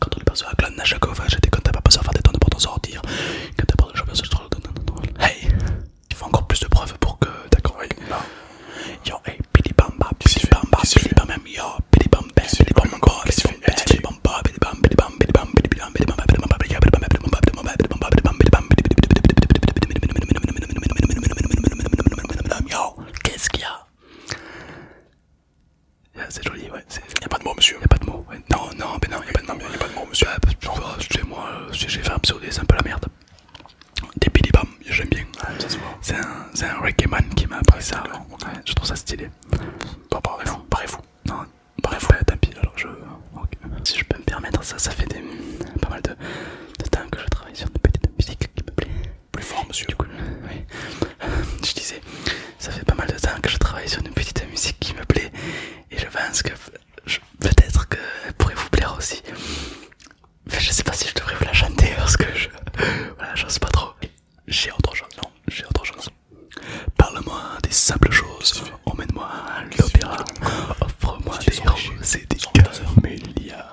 quand on est à à pas des pour sortir. Quand pas de Hey, il faut encore plus de preuves pour que. tu aies Yo, hey, Bamba, yo, Bamba, Bamba, Bamba, Bamba, Bamba, Bamba, Bamba, Bamba, Bamba, Bamba, Bamba, Bamba, Yo, qu'est-ce qu'il y a ah, c'est joli, ouais. Y'a pas de mots, monsieur. Y'a pas de mots. Ouais. Non, non, mais non, y'a pas de mots. Y'a pas de mots, monsieur. Ah, bah, je genre, moi, euh, si j'ai fait un pseudo, c'est un peu la merde. Des Billy j'aime bien. Ah, ça C'est un, un reggae man qui m'a appris ça. Je trouve ça stylé. Bon, bah, pareil parez-vous. Non, fou vous tant pis, alors je. Si je peux me permettre, ça, ça fait pas mal de, de temps que je travaille sur une petites musiques qui me plaît. Plus fort, Du coup, je disais, ça fait pas mal de temps que je travaille sur une petite musique qui me plaît et je pense que peut-être qu'elle pourrait vous plaire aussi. mais je sais pas si je devrais vous la chanter parce que je. Voilà, sais pas trop. J'ai autre chose, non, j'ai autre chose. Parle-moi des simples choses, emmène-moi à l'opéra, offre-moi des roses et des a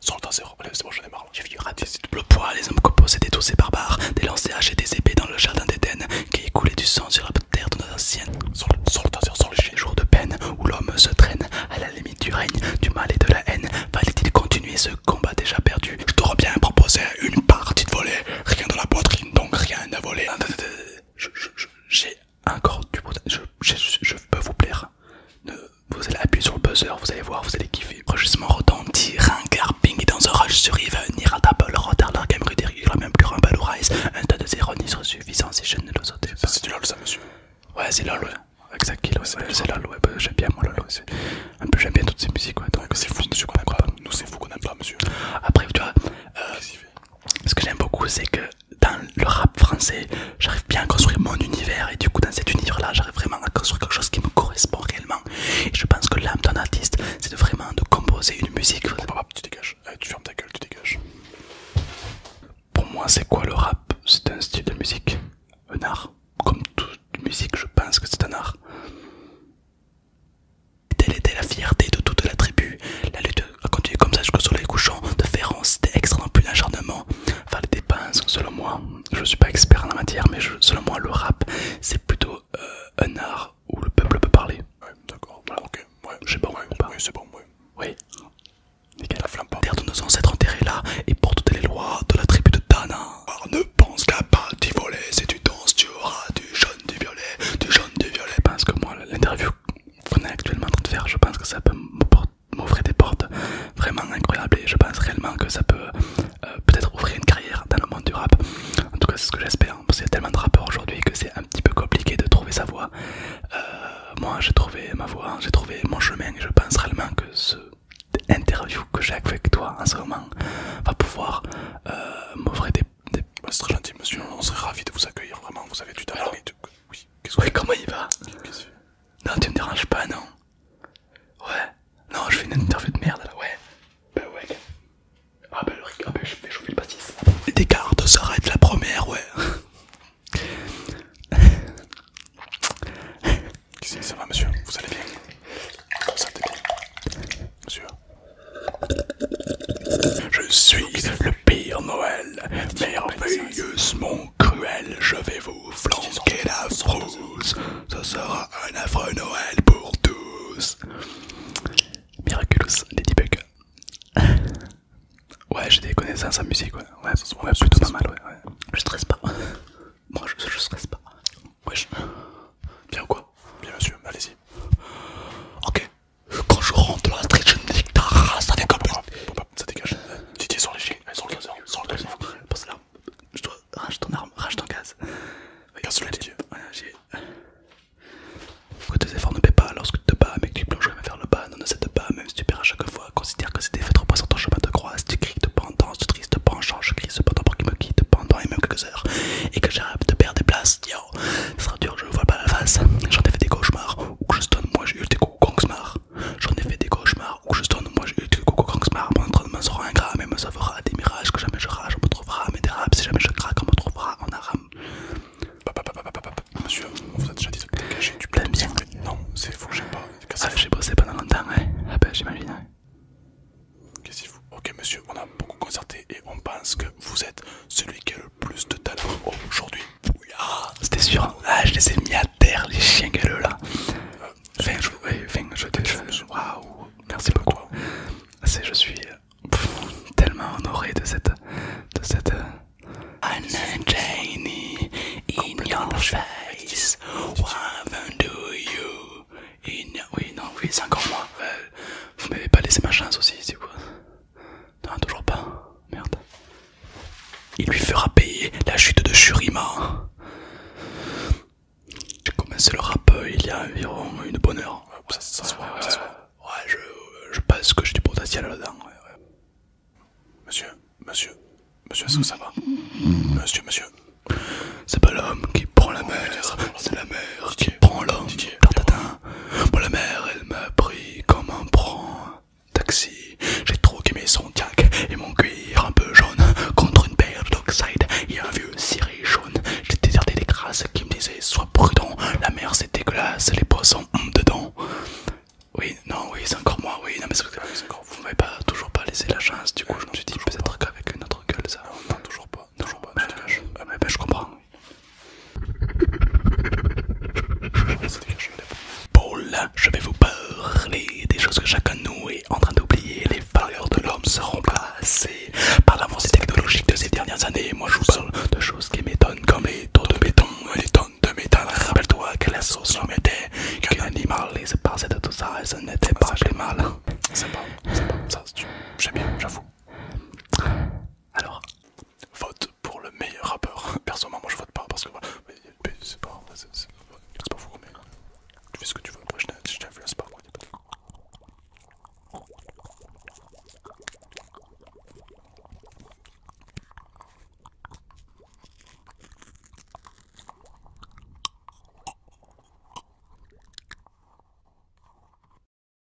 Sans le temps zéro, allez c'est bon j'en ai marre J'ai vu double poids, les hommes composés des tous ces barbares Des lancers hachés et des épées dans le jardin d'Eden Qui écoulaient du sang sur la terre de nos anciennes Sans le, le temps les jours de peine Où l'homme se traîne à la limite du règne Du mal et de la haine Fallait-il continuer ce combat déjà perdu Je t'aurais bien proposé une partie de volée Rien dans la poitrine donc rien à voler J'ai encore du... Je, peux vous plaire vous allez appuyer sur le buzzer, vous allez voir, vous allez kiffer. Rugissement redondi, un carping dans un rush sur Yves, Niratable, retard, la il la même plus un ballon un tas de zéros ni suffisant si je ne le sautais pas. C'est du lol ça monsieur Ouais c'est lol Exactement, Exact kill c'est lol bah, j'aime bien moi lol En plus j'aime bien toutes ces musiques ouais. Donc c'est euh, fou monsieur qu'on aime pas. Nous c'est fou qu'on aime pas monsieur. Après tu vois, euh, ce que j'aime beaucoup c'est que dans le rap français, j'arrive bien à construire mon univers et du coup dans cet univers là j'arrive vraiment à construire quelque chose qui me correspond réellement et je pense que l'âme d'un artiste c'est de vraiment de composer une musique tu dégages eh, tu fermes ta gueule tu dégages pour moi c'est quoi le rap c'est un style de musique un art comme toute musique je pense que c'est un art Telle était la fierté de toute la tribu. La lutte a continué comme ça jusqu'au soleil couchant, de faire c'était extrêmement plus l'acharnement. Enfin, des dépenses, selon moi, je suis pas expert en la matière, mais selon moi, le rap, c'est plutôt euh, un art où le peuple peut parler. Ouais, d'accord, ok, ouais, j'ai bon, pas. Oui, c'est bon, ouais. Oui, nickel. La terre de nos ancêtres enterrés là, et pour toutes les lois de la tribu de Dana. Ah, ne pense qu'à pas t'y voler, si tu danses, tu auras du jaune, du violet, du jaune, du violet. Je pense que moi, l'interview qu'on est actuellement en train de faire, je pense que ça peut m'apporter. M'offrir des portes vraiment incroyables et je pense réellement que ça peut euh, peut-être ouvrir une carrière dans le monde du rap. En tout cas, c'est ce que j'espère hein, parce qu'il y a tellement de rappeurs aujourd'hui que c'est un petit peu compliqué de trouver sa voix. Euh, moi, j'ai trouvé ma voix, j'ai trouvé mon chemin et je pense réellement que ce interview que j'ai avec toi en ce moment va pouvoir euh, m'offrir des, des... Ah, c'est très gentil monsieur, on serait ravi de vous accueillir vraiment, vous avez du talent. Oui, oui comment il va non, tu me déranges pas, non Ouais, non, je fais une interview de merde là, ouais. Bah ouais. Ah bah le riz, ah, bah, je vais chauffer le pastis. Les décartes s'arrêtent la première, ouais. Qu'est-ce que ça va, monsieur Vous allez bien Ça, t'es bien Monsieur Je suis le pire Noël, merveilleusement cruel, je vais vous flanquer la frousse. Ce sera un affreux Noël pour tous. Miraculous, Ladybug. ouais, j'ai des connaissances en musique, ouais. Ouais, plutôt pas mal, ouais. Je stresse pas. Moi, je, stresse pas. Wesh. Bien ou quoi Bien, monsieur, allez-y. Ok. Quand je rentre dans la street, je me ta race ça dégage. Titi sur les chiens, sur le gazon, sur le gazon. Passe là, je dois. Rage ton arme, rage ton gaz. Regarde le Didier. Voilà, j'ai. tes euh, efforts ne paient pas lorsque tu te bats, mais que tu plonges jamais faire le bas, non, ne cède pas, même si tu perds à chaque fois. Considère que c'était fait sur ton chemin de croix. Si tu cries pendant, si tu tristes penchant, je crie cependant pour qu'il me quitte pendant et même quelques heures. Et que j'arrive de perdre des places, yo, ce sera dur, je vois pas la face. J'en ai fait des cauchemars, ou que je stonne, moi j'ai eu des coups. Kongsmar. J'en ai fait des cauchemars où je tourne, moi j'ai eu du Kongsmar en train de me sortir un gramme, mais me sauvera des mirages que jamais je rage, on me trouvera à mes dérapes, si jamais je craque, on me trouvera en aram. Monsieur, vous a déjà dit de cacher du plein bien. Non, c'est fou, j'aime pas. Ah, j'ai bossé pendant longtemps, ouais. Ah, ben, j'imagine, Qu'est-ce qu'il faut Ok, monsieur, on a beaucoup concerté et on pense que vous êtes celui qui a le plus de talent aujourd'hui c'était sûr. Ah, je les ai mis à terre, les chiens galeux là. Euh, enfin, je, vous. enfin, je, Waouh, merci beaucoup. Ah, je suis tellement honoré de cette. Euh, Anna Jenny in your what do you? Oui, non, oui, c'est encore moi. Euh, vous m'avez pas laissé ma chance aussi, c'est quoi? Non, toujours pas. Merde. Il lui fera payer la chute de Shurima. J'ai commencé le rap euh, il y a environ une bonne heure. Ouais, je, pense que j'ai du potentiel là-dedans. Monsieur, monsieur, monsieur, est-ce que ça va Monsieur, monsieur. C'est pas l'homme qui prend la mer, c'est la mer qui prend l'homme. Pour la mère, elle m'a pris comme un prend taxi. J'ai trop mes son jack et mon cuir un peu jaune contre une paire d'oxide et un vieux ciré jaune. J'ai déserté des grâces qui me disaient sois prudent, la mère c'est dégueulasse, les poissons ont dedans. Oui, non, oui, c'est encore moi, oui, non mais c'est encore vous m'avez pas toujours pas laissé la chance, du coup je me suis dit peut-être qu'avec une autre gueule ça. Non, toujours pas, toujours pas, je comprends. Paul, je vais vous parler des choses que chacun de nous est en train d'oublier. Les valeurs de l'homme seront passées par l'avancée technologique de ces dernières années. Moi, je vous parle de choses qui m'étonnent, comme les taux de béton et les tonnes de métal. Rappelle-toi que la sauce l'homme était qu'un animal et se de tout ça et ça n'était pas mal. C'est pas, c'est pas, ça, j'aime bien, j'avoue. Alors, vote pour le meilleur rappeur. Personnellement, moi je vote pas parce que c'est pas, pas fou, mais tu fais ce que tu veux. Après, je t'influence pas. Moi.